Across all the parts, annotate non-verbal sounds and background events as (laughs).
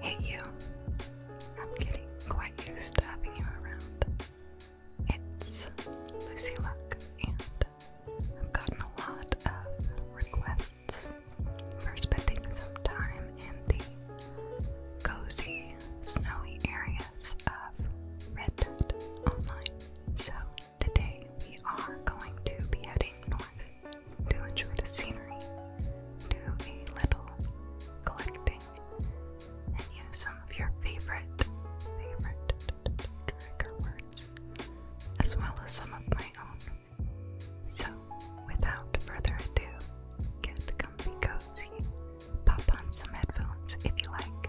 Hey you, I'm getting quite used to having you around. It's Lucy Luck, and I've gotten a lot of requests for spending some time in the cozy, snowy area of Red Online. So, today we are going to be heading north to enjoy the scenery, do a little collecting, and use some of your favorite, favorite trigger words, as well as some of my own. So, without further ado, get comfy cozy. Pop on some headphones if you like,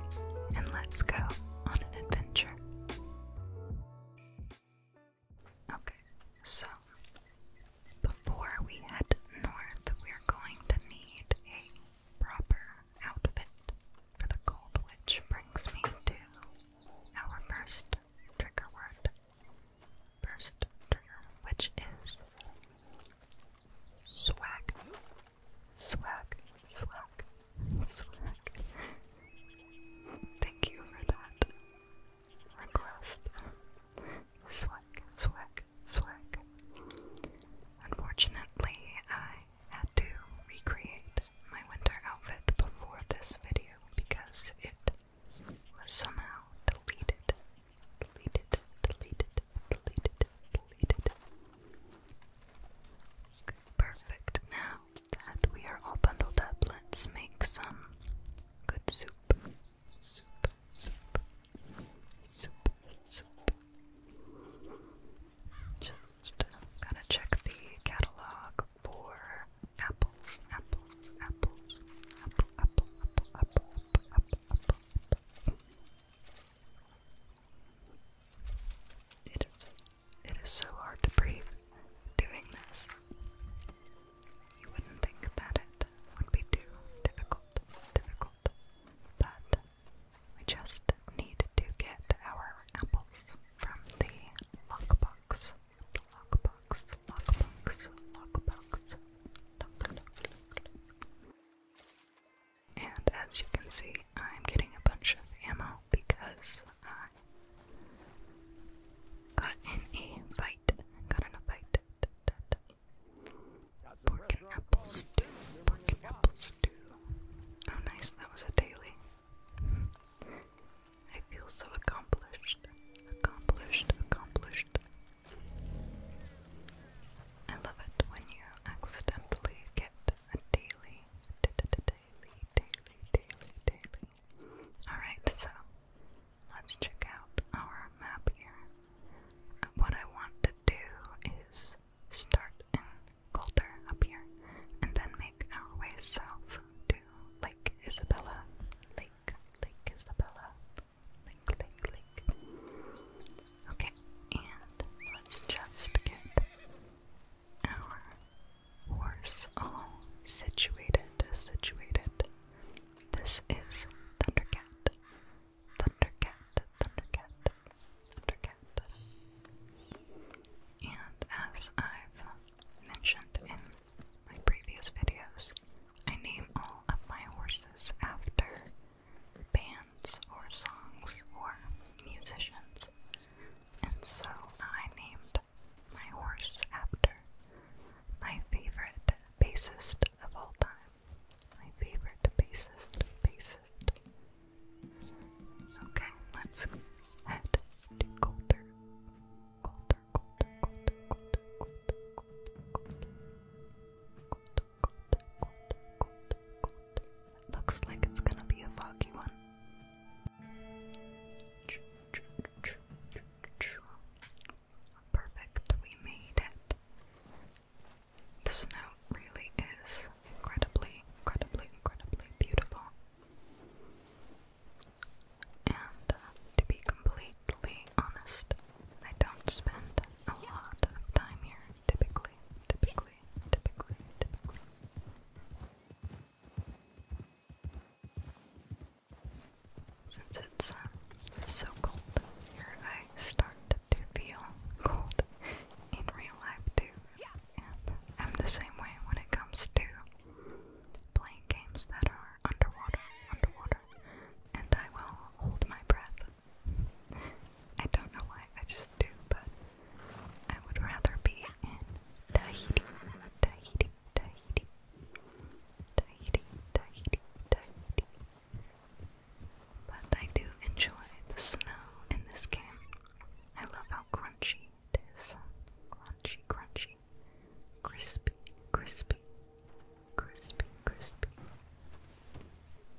and let's go on an adventure. Okay, so before we head north, we're going to need a proper outfit for the cold, which brings me to our first trigger word. First trigger, which is Swag. Swag. Swag. Swag. Thank you for that request. Swag. Swag. Swag. Unfortunately, I had to recreate my winter outfit before this video because it was somehow deleted, deleted, deleted, deleted, deleted. perfect. Now that we are all bundled up, let's make some good soup. Soup, soup, soup, soup. Just gotta check the catalog for apples, apples, apples, apple, apple, apple, apple, apple, apple, apple. It is, it is so hard to breathe doing this. You wouldn't think that it would be too difficult, difficult, but we just need to get our apples from the lockbox. The lockbox, lockbox, lockbox, lock, and as you can see, I'm getting a bunch of ammo because I got in a fight. Got in a fight. Pork and apple stew. Pork and apple stew. Oh, nice. That was a daily. I feel so accomplished. Accomplished. Accomplished. I love it when you accidentally get a daily, daily, daily, daily, daily. Alright, so let's check out our map here. what I want to do is start in Coulter up here and then make our way south to Lake Isabella. Lake, Lake Isabella. Lake, Lake, Lake. Okay, and let's just get our horse all situated, situated. This is Thundercat. Thundercat, Thundercat, Thundercat. And as I've mentioned in my previous videos, I name all of my horses after bands or songs or musicians. And so I named my horse after my favorite bassist of all time. My favorite bassist, bassist. Okay, let's head to Coulter. Coulter, Coulter, Coulter, Coulter, Coulter, Coulter, Coulter, it looks like it's gonna be a foggy one. Perfect, we made it. The snow really is incredibly, incredibly, incredibly beautiful. And uh, to be completely honest, I don't spend a lot of time here typically, typically, typically, typically. Since it's uh, so cold here, I start to feel cold in real life too. I'm the same way when it comes to playing games that are underwater, underwater. And I will hold my breath I don't know why, I just do, but I would rather be in Tahiti, Tahiti, Tahiti, Tahiti, Tahiti, Tahiti. But I do enjoy the snow in this game. I love how crunchy it is. Crunchy, crunchy. Crispy, crispy, crispy, crispy.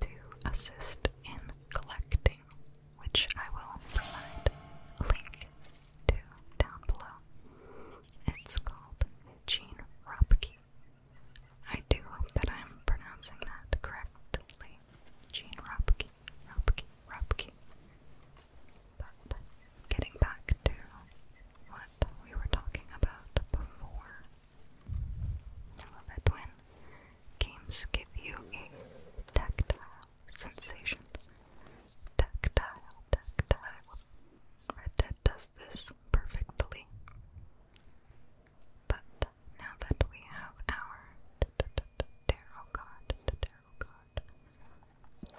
to assist in collecting, which I will provide a link to down below. It's called Gene Ropke. I do hope that I'm pronouncing that correctly. Gene Ropke, Ropke, Ropke. But getting back to what we were talking about before, I love it when games give you a tactile sensation. Tactile, tactile. Red Dead does this perfectly. But now that we have our tarot card,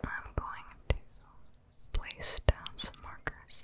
I'm going to place down some markers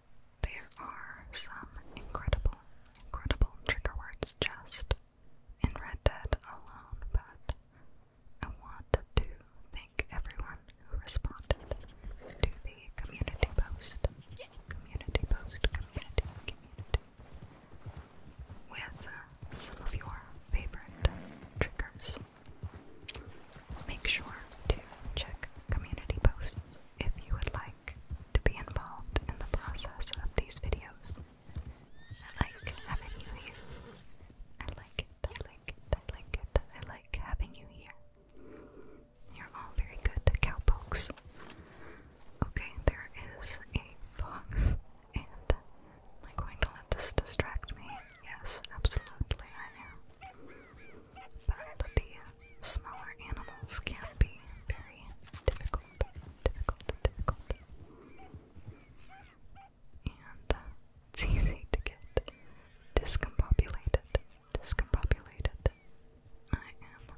There are some incredible, incredible trigger words just in Red Dead alone, but I want to thank everyone who responded to the community post. Community post, community, community. With uh, some of your favorite triggers. Make sure to check community posts if you would like to be involved in the process of these videos. I like having you here. I like I like I like it, I like having you here. You're all very good cowpokes. Okay, there is a fox, am I going to let this distract me? Yes, absolutely I am. But the smaller animals can be very difficult, difficult, difficult. And uh, it's easy to get discombobulated, discombobulated. I am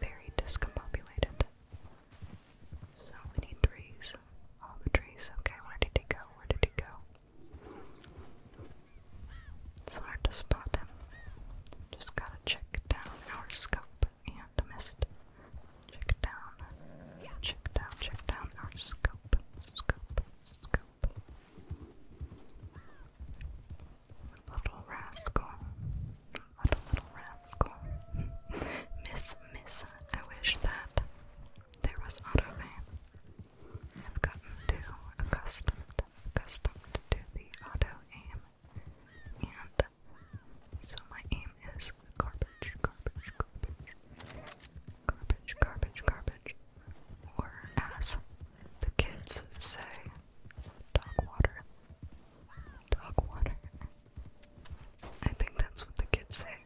very discombobulated. So we trees. All the trees. Okay, where did he go? Where did he go? It's hard to spot him. Just gotta check down our scope and missed. Check down, check down, check down our scope, scope, scope. Little rascal. What a little rascal. (laughs) miss, miss. I wish that there was auto aim. I've gotten too accustomed, accustomed to the auto aim, and so my aim is garbage, garbage, garbage, garbage, garbage, garbage, or as the kids say, dog water, dog water. I think that's what the kids say.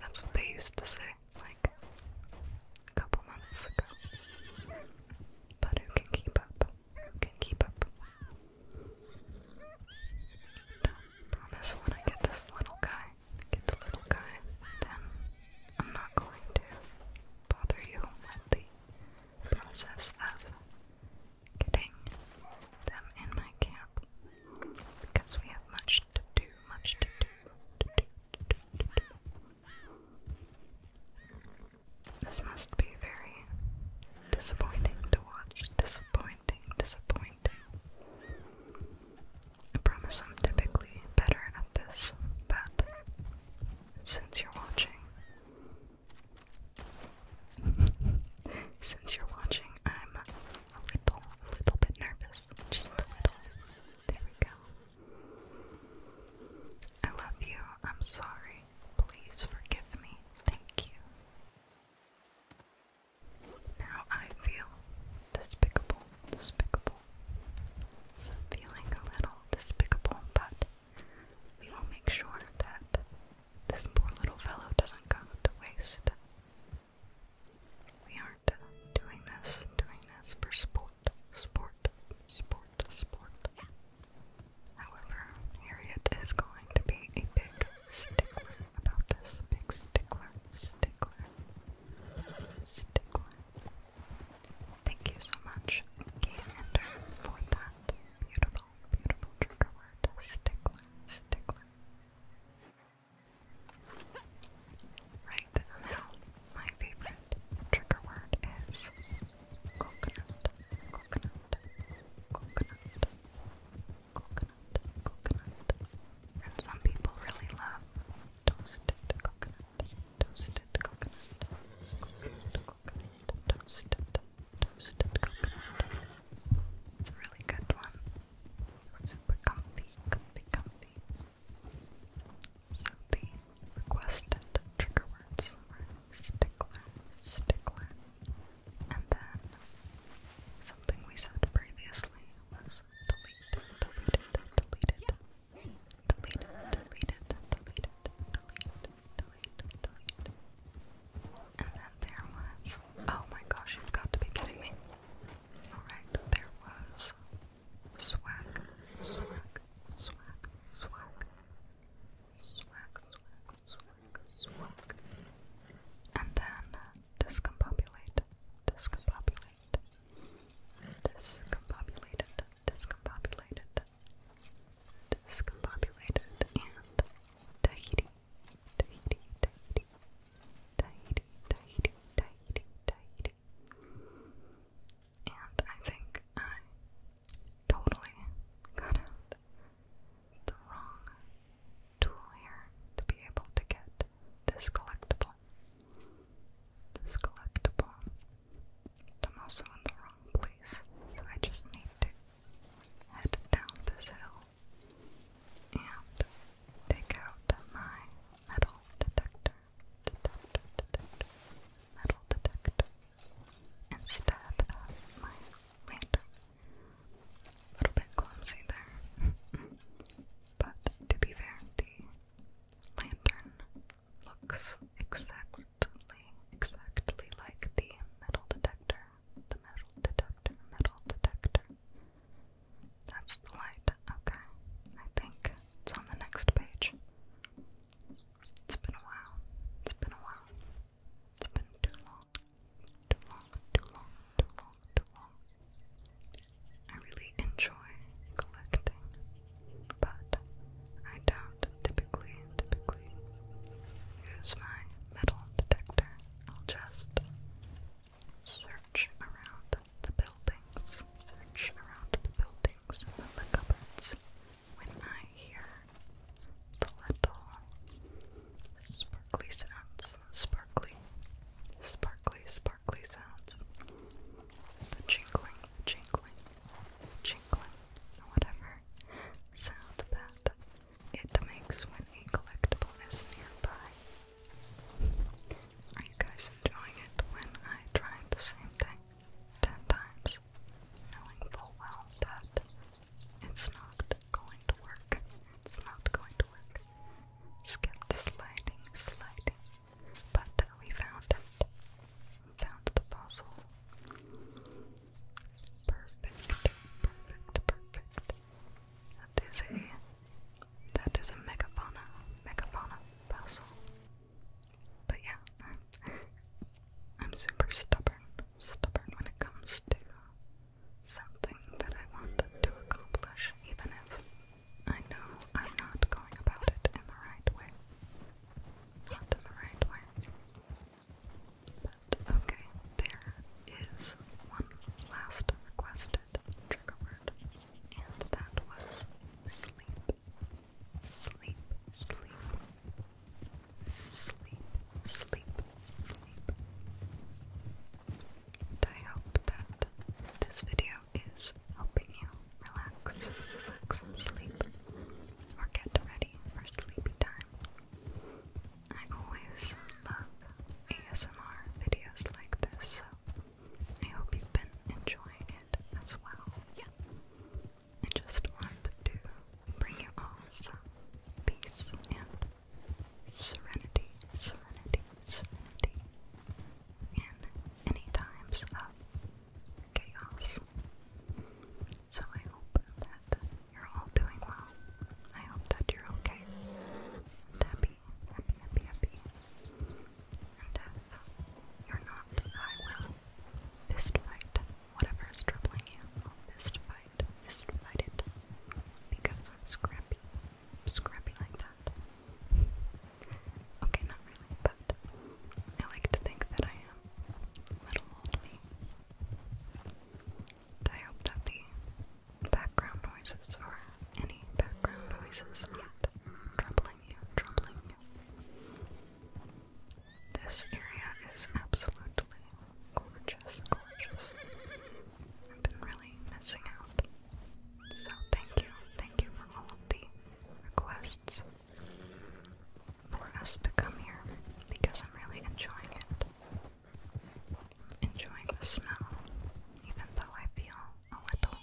That's what they used to say like a couple months ago. But who can keep up? Who can keep up? I promise when I get this little guy, get the little guy, then I'm not going to bother you with the process of getting them in my camp because we have much to do, much to do, to do, to do, to do. This must be very disappointing to watch. Disappointing, disappointing. I promise I'm typically better at this, but since you're watching, (laughs) since you're watching, I'm a little, little bit nervous. Just a little. There we go. I love you. I'm sorry. Please forgive me. Thank you. Now I feel despicable, despicable. Feeling a little despicable, but we will make sure that this poor little fellow doesn't go to waste. We aren't doing this, doing this for sport, sport, sport, sport. However, Harriet is going to be a big stickler about this. Big stickler, stickler, stickler. Thank you so much, Game Ender, for that beautiful, beautiful trigger word. Stickler, stickler. Right now, my favorite trigger word is coconut, coconut, coconut, coconut, coconut. And some people really love toasted coconut, toasted coconut, coconut, toasted, toasted coconut. It's a really good one. Super comfy, comfy, comfy. So the requested trigger words were stickler, stickler, and then something we said previously was delete, deleted, deleted, deleted, deleted, deleted, deleted, deleted, deleted. And then there was, oh my gosh, you've got to be kidding me. Alright, there was Swag, swag, swag, swag, swag, swag, swag, swag. And then discombobulate, discombobulate, discombobulated, discombobulated, discombobulated, and Tahiti, Tahiti, Tahiti, Tahiti, Tahiti, Tahiti, Tahiti. And I think I totally got the wrong tool here to be able to get this collectible. This collectible. But also in the wrong place, so I just need to head down this hill and take out my metal detector detector, metal detector, instead of my lantern. A little bit clumsy there. (laughs) but to be fair, the lantern looks exactly, exactly like the metal detector. The metal detector, metal detector. That's the light. Okay. I think it's on the next page. It's been a while. It's been a while. It's been too long. Too long, too long, too long, too long. I really enjoy collecting, but I don't typically, typically use my metal detector. I'll just Search around the buildings. Search around the buildings and the cupboards. When I hear the little sparkly sounds, sparkly, sparkly, sparkly sounds, the jingling, the jingling, the jingling, whatever sound that it makes when a collectible is nearby. Are you guys enjoying it when I try the same thing ten times, knowing full well that it's not going to work? It's not going to work. Just kept sliding, sliding. But we found it. found the fossil. Perfect, perfect, perfect. That is a that is a megafauna, megafauna fossil. But yeah, I'm super stubborn, stubborn when it comes to something that I want to accomplish, even if I know I'm not going about it in the right way. Not in the right way. But okay, there is one last requested trigger word and that was sleep, sleep, sleep, sleep, sleep, sleep. And I hope that this video is helping you relax, relax, and sleep, or get ready for sleepy time. I always love ASMR videos like this, so I hope you've been enjoying it as well. Yeah. I just wanted to bring you all some peace and serenity, serenity, serenity in any times of chaos. So I hope that you're all doing well. I hope that you're okay. And happy, happy, happy, happy. Uh, you're not, I will. fistfight. Whatever is troubling you, I'll fist fight. Fist fight it. Because I'm scrappy. scrappy like that. okay, not really, but I like to think that I am. Little old I hope that the background noises or any background noises troubling you. This area is absolutely gorgeous, gorgeous. I've been really missing out. So thank you, thank you for all of the requests for us to come here because I'm really enjoying it enjoying the snow, even though I feel a little,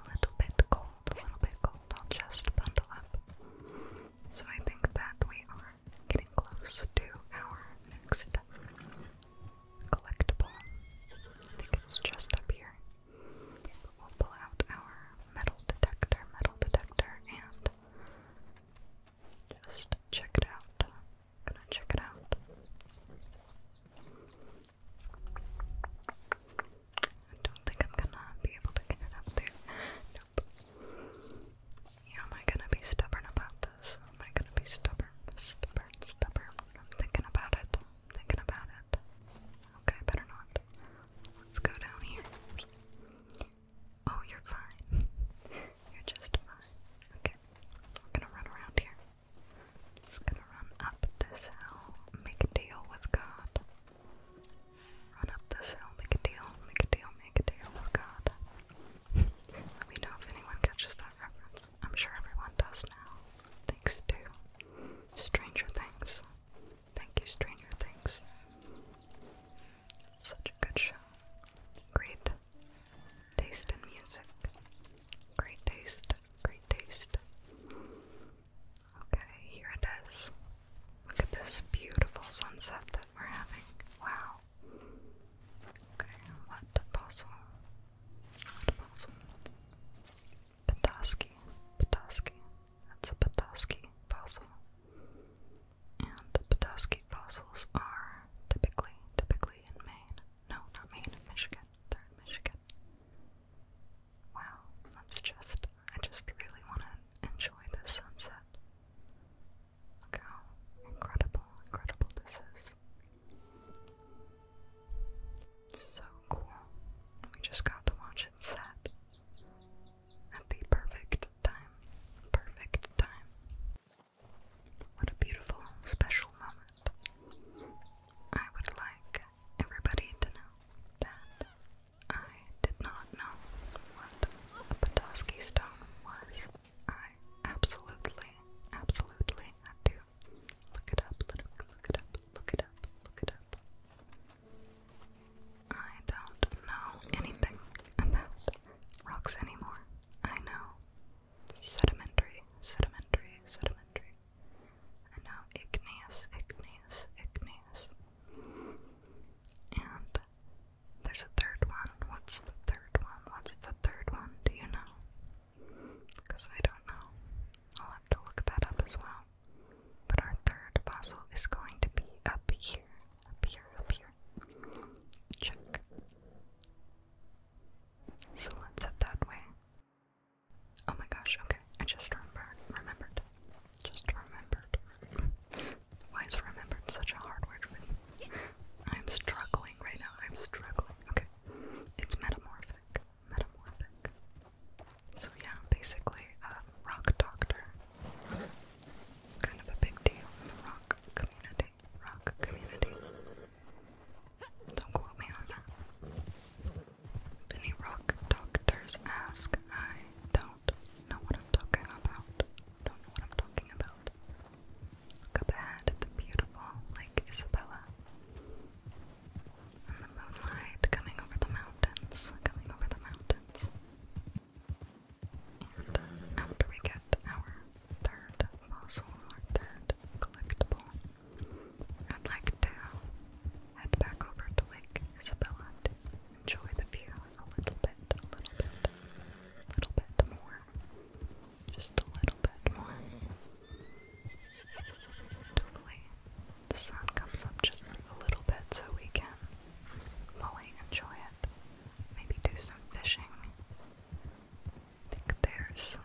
a little bit cold, a little bit cold. I'll just bundle up. So I think that we are getting close to our next collectible. I think it's just up here. we'll pull out our metal detector, metal detector, and just check it out gonna check it out. I don't think I'm gonna be able to get it up there. Nope. am I gonna be stubborn about this? Am I gonna be stubborn? Stubborn, stubborn. I'm thinking about it. thinking about it. Okay, better not. Let's go down here. Oh, you're fine. (laughs) You're just fine. Okay. We're gonna run around here. Just gonna run up this hill, make a deal with God. Run up this hill, make a deal, make a deal, make a deal with God. (laughs) Let me know if anyone catches that reference. I'm sure everyone does now. Thanks to Stranger Things. Thank you, Stranger Things. Such a good show. Great Taste in music. Great taste. Great taste. Okay, here it is. Look at this beautiful sunset that we're having. Wow. Okay, what puzzle? What puzzle? Petoskey. Petoskey. That's a Petoskey fossil. And Petoskey fossils are typically, typically in Maine. No, not Maine, Michigan. They're in Michigan. Wow, that's just, I just really want to enjoy the sunset. Look how incredible, incredible this is. So cool. We just got to watch it set at the perfect time. Perfect time. What a beautiful, special moment. I would like everybody to know that I did not know what a Petoskey stone was. I absolutely, absolutely had look it up, look, look it up, look it up, look it up. I don't know anything about rocks anymore. I know sedimentary, sedimentary, sedimentary. And now igneous, igneous, igneous. And there's a third one. What's the third one? What's the third one? Do you know? Because I don't know. I'll have to look that up as well. But our third fossil is going to be up here, up here, up here. Check. So let's head that way. Oh my gosh, okay. I just remembered remembered. Just remembered. Why is remembered such a hard word for me? I'm struggling right now. I'm struggling. Okay. It's metamorphic. Metamorphic. So yeah, basically rock doctor. Kind of a big deal in the rock community rock community. Don't quote me on that. any rock doctors ask, I don't know what I'm talking about. Don't know what I'm talking about. Look ahead at the beautiful Lake Isabella. And the moonlight coming over the mountains, coming over the mountains. And um, after we get our third fossil third collectible, I'd like to head back over to Lake Isabella to enjoy the view a little bit, a little bit, little bit more. Just a little bit more. hopefully the sun comes up just a little bit so we can fully enjoy it. Maybe do some fishing. I think there's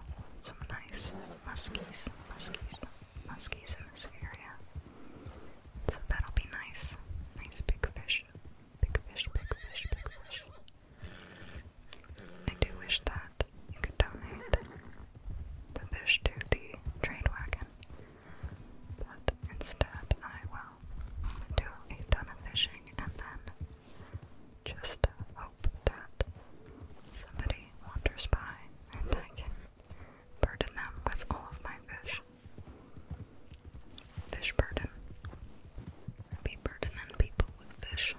some nice muskies, muskies, muskies in this area. So that'll be nice. Nice big fish. Big fish, big fish, big fish. I do wish that you could donate the fish to the trade wagon. But instead, I will do a ton of fishing and then just hope that somebody wanders by and I can burden them with all of my fish. Fish burden. Be burdening people with fish.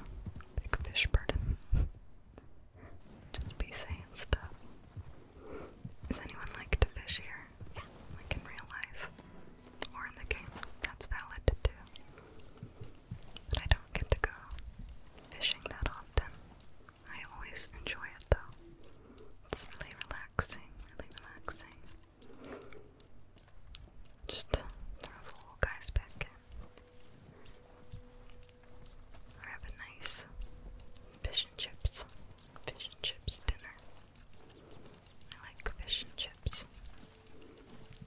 Big fish burden. Just be saying stuff. Does anyone like to fish here? Like in real life? or in the game. That's valid to do. But I don't get to go fishing that often. I always enjoy it though. It's really relaxing, really relaxing. Just throw the little guys back in. have a nice fish and chips, fish and chips dinner. I like fish and chips.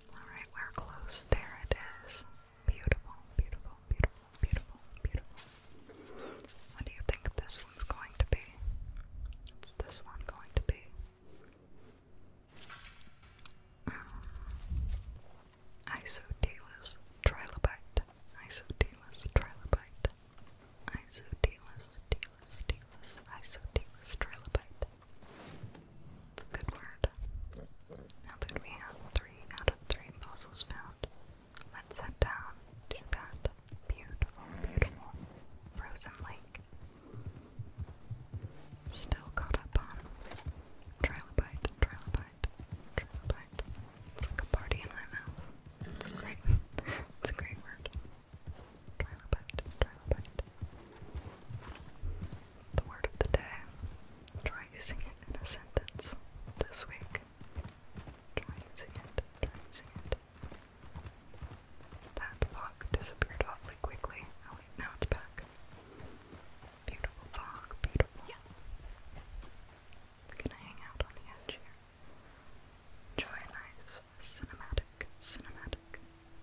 Alright, we're close. There it is. Beautiful, beautiful, beautiful, beautiful, beautiful. What do you think this one's going to be? What's this one going to be? Um, trilobite. Isodelus trilobite. Isodelus, delus, delus, isodelus trilobite. It's a good word. Now that we have three out of three fossils found, let's head down to that beautiful, beautiful frozen lake. Still caught up on trilobite, trilobite, trilobite. It's like a party in my mouth. It's great. (laughs) it's a great word. Trilobite, trilobite. It's the word of the day. Try using it in a sentence this week. Try using it, try using it. That fog disappeared awfully quickly. Oh, now it's back. Beautiful fog, beautiful. Yeah. Can I hang out on the edge here? Enjoy nice this cinematic, cinematic,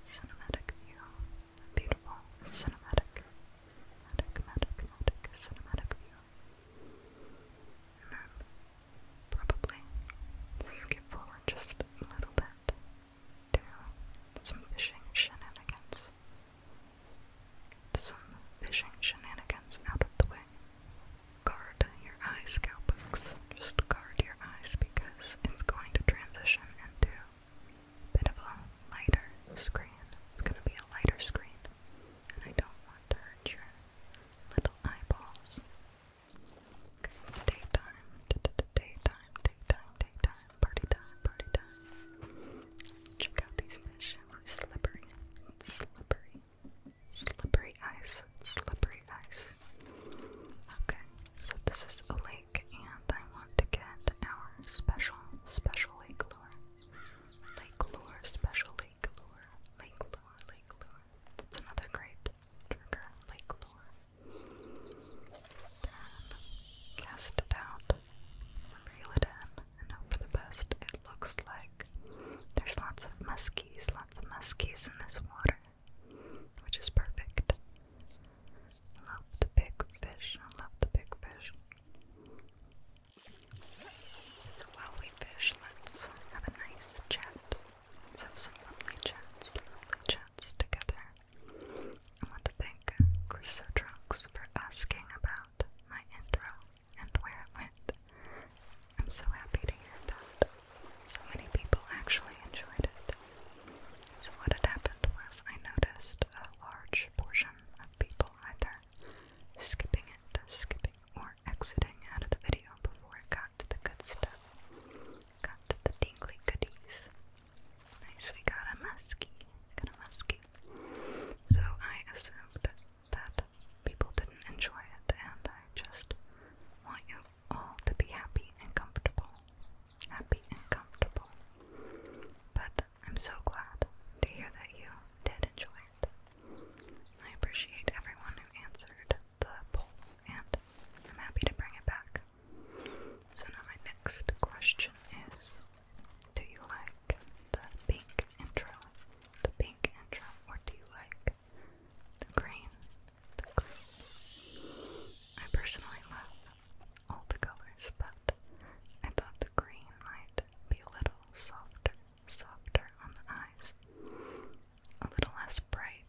cinematic view. A beautiful cinematic, matic, matic, matic, cinematic view. And then probably skip forward just a little bit to some fishing shenanigans. Get some fishing shenanigans out of the way. Guard your eye, scalpers. Just guard your eyes, because it's going to transition into a bit of a lighter screen. It's going to be a lighter screen, and I don't want to hurt your little eyeballs. Okay, it's daytime, daytime, daytime, daytime, party time, party time. Let's check out these fish. Slippery, slippery, slippery ice, slippery ice. Okay, so this is a lake, and I want to get our special, special lake lure. Lake lure, special lake lure, lake lure, lake lure. It's another great trigger, lake lure. Then cast it out, reel it in, and for the best. It looks like there's lots of muskies, lots of muskies in this water which is perfect. love the big fish. love the big fish. So while we fish, let's have a nice chat. Let's have some lovely chats, lovely chats together. I want to thank Chrysodrux for asking about my intro and where it went. I'm so happy to hear that. So many people actually enjoyed it. So, what had happened was I noticed a large portion of people either skipping it, skipping, or exiting out of the video before it got to the good stuff, got to the tingly goodies. Nice, we got a muskie, got a muskie. So, I assumed that people didn't enjoy it, and I just want you to be happy and comfortable. Happy and comfortable. But I'm so glad to hear that you did enjoy it. I appreciate everyone who answered the poll, and I'm happy to bring it back. So now my next question is, do you like the pink intro, the pink intro, or do you like the green I personally love all the colors, but I thought the green might be a little softer, softer on the eyes, a little less bright,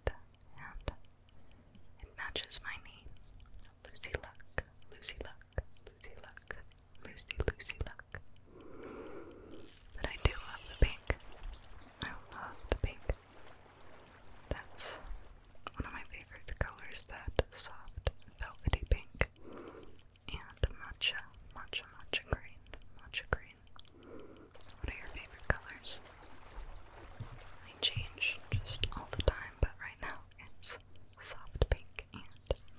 and it matches my name. Lucy Luck, Lucy Luck, Lucy Luck, Lucy, Lucy Luck. But I do love the pink. I love the pink. That's one of my favorite colors, that soft velvety pink and matcha, matcha, matcha green, matcha green. What are your favorite colors? I change just all the time, but right now it's soft pink and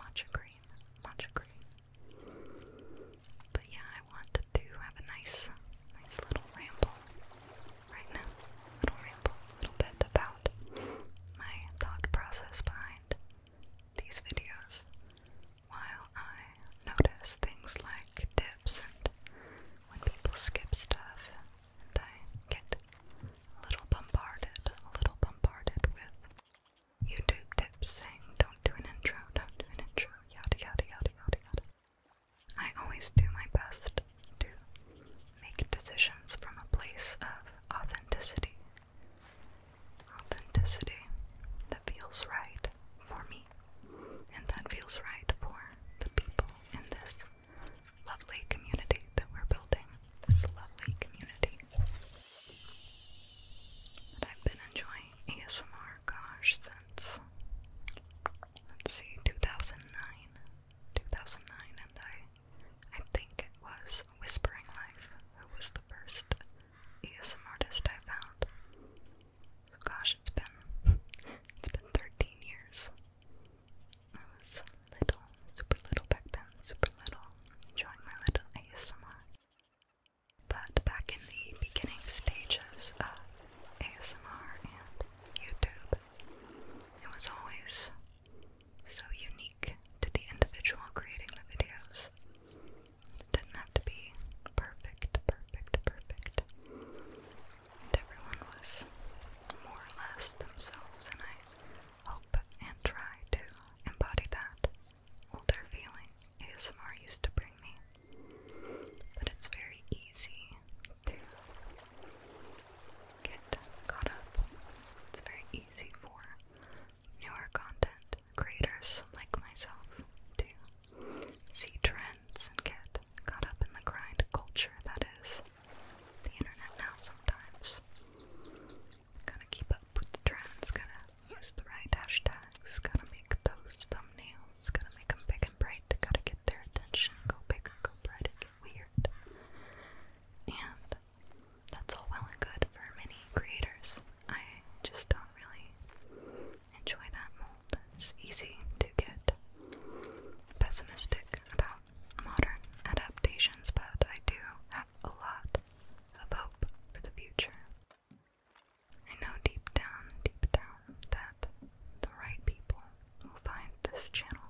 matcha green, matcha green. But yeah, I wanted to have a nice, nice little ramble right now. Little ramble, little bit about my thought process behind these videos. While I notice things like tips and when people skip stuff, and I get a little bombarded, a little bombarded with YouTube tips saying, don't do an intro, don't do an intro, yada yada yada yada yada. I always do my best to make decisions from a place of authenticity. Authenticity that feels right for me and that feels right for the people in this lovely community that we're building. This lovely community. I've been enjoying ASMR, gosh, Let's see, 2009, 2009, and I, I think it was Whispering Life who was the first ESM artist I found. So gosh, it's been, it's been 13 years. I was little, super little back then, super little, enjoying my little ASMR. But back in the beginning stages of ASMR and YouTube, it was always so unique to the individual creating the videos. It didn't have to be perfect, perfect, perfect. And everyone was more or less themselves, and I hope and try to embody that older feeling ASMR used to bring me. But it's very easy to get caught up. It's very easy for newer content creators like myself to see trends and get caught up in the grind culture that is the internet now sometimes. Gotta keep up with the trends, gotta use the right hashtags gotta make those thumbnails, gotta make big and bright, gotta get their attention, go bigger, go brighter, get weird. And that's all well and good for many creators. I just don't really enjoy that mold. It's easy to get pessimistic about modern adaptations, but I do have a lot of hope for the future. I know deep down, deep down, that the right people will find this channel.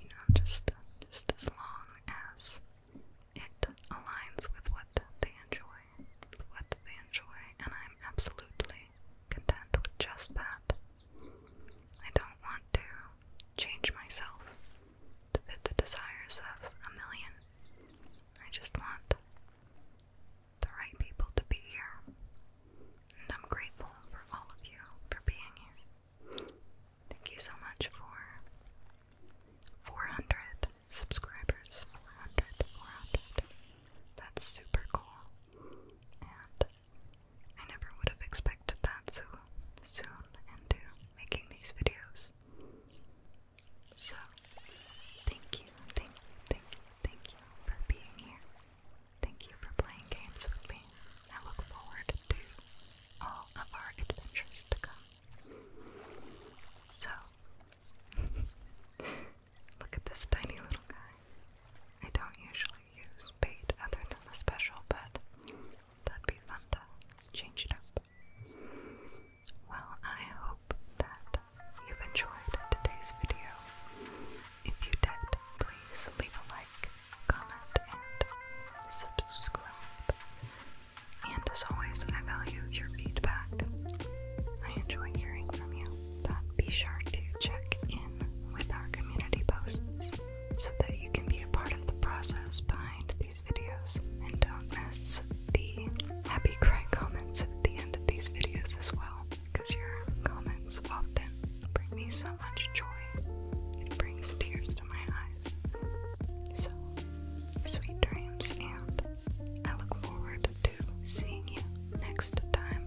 You know, just just as long as it aligns with what they enjoy, what they enjoy, and I'm absolutely content with just that. I don't want to change myself to fit the desires of a million. I just want the right people to be here. And I'm grateful for all of you for being here. Thank you so much for 400 subscribers. 400, 400. That's super cool. And I never would have expected that so soon into making these videos. So, thank you, thank you, thank you, thank you for being here. Thank you for playing games with me. I look forward to all of our adventures to come. So, (laughs) look at this tiny little guy. I don't usually use bait other than the special, but that'd be fun to change it up. Well, I hope that you've enjoyed today's video. If you did, please leave a like, comment, and subscribe. And as always, I value your feedback. I enjoy hearing from you, but be sure to check in with our community posts so that you can be a part of the process behind these videos and don't miss the happy cry comments at the end of these videos as well, because your comments often bring me so much joy. It brings tears to my eyes. So, sweet dreams, and I look forward to seeing you next time.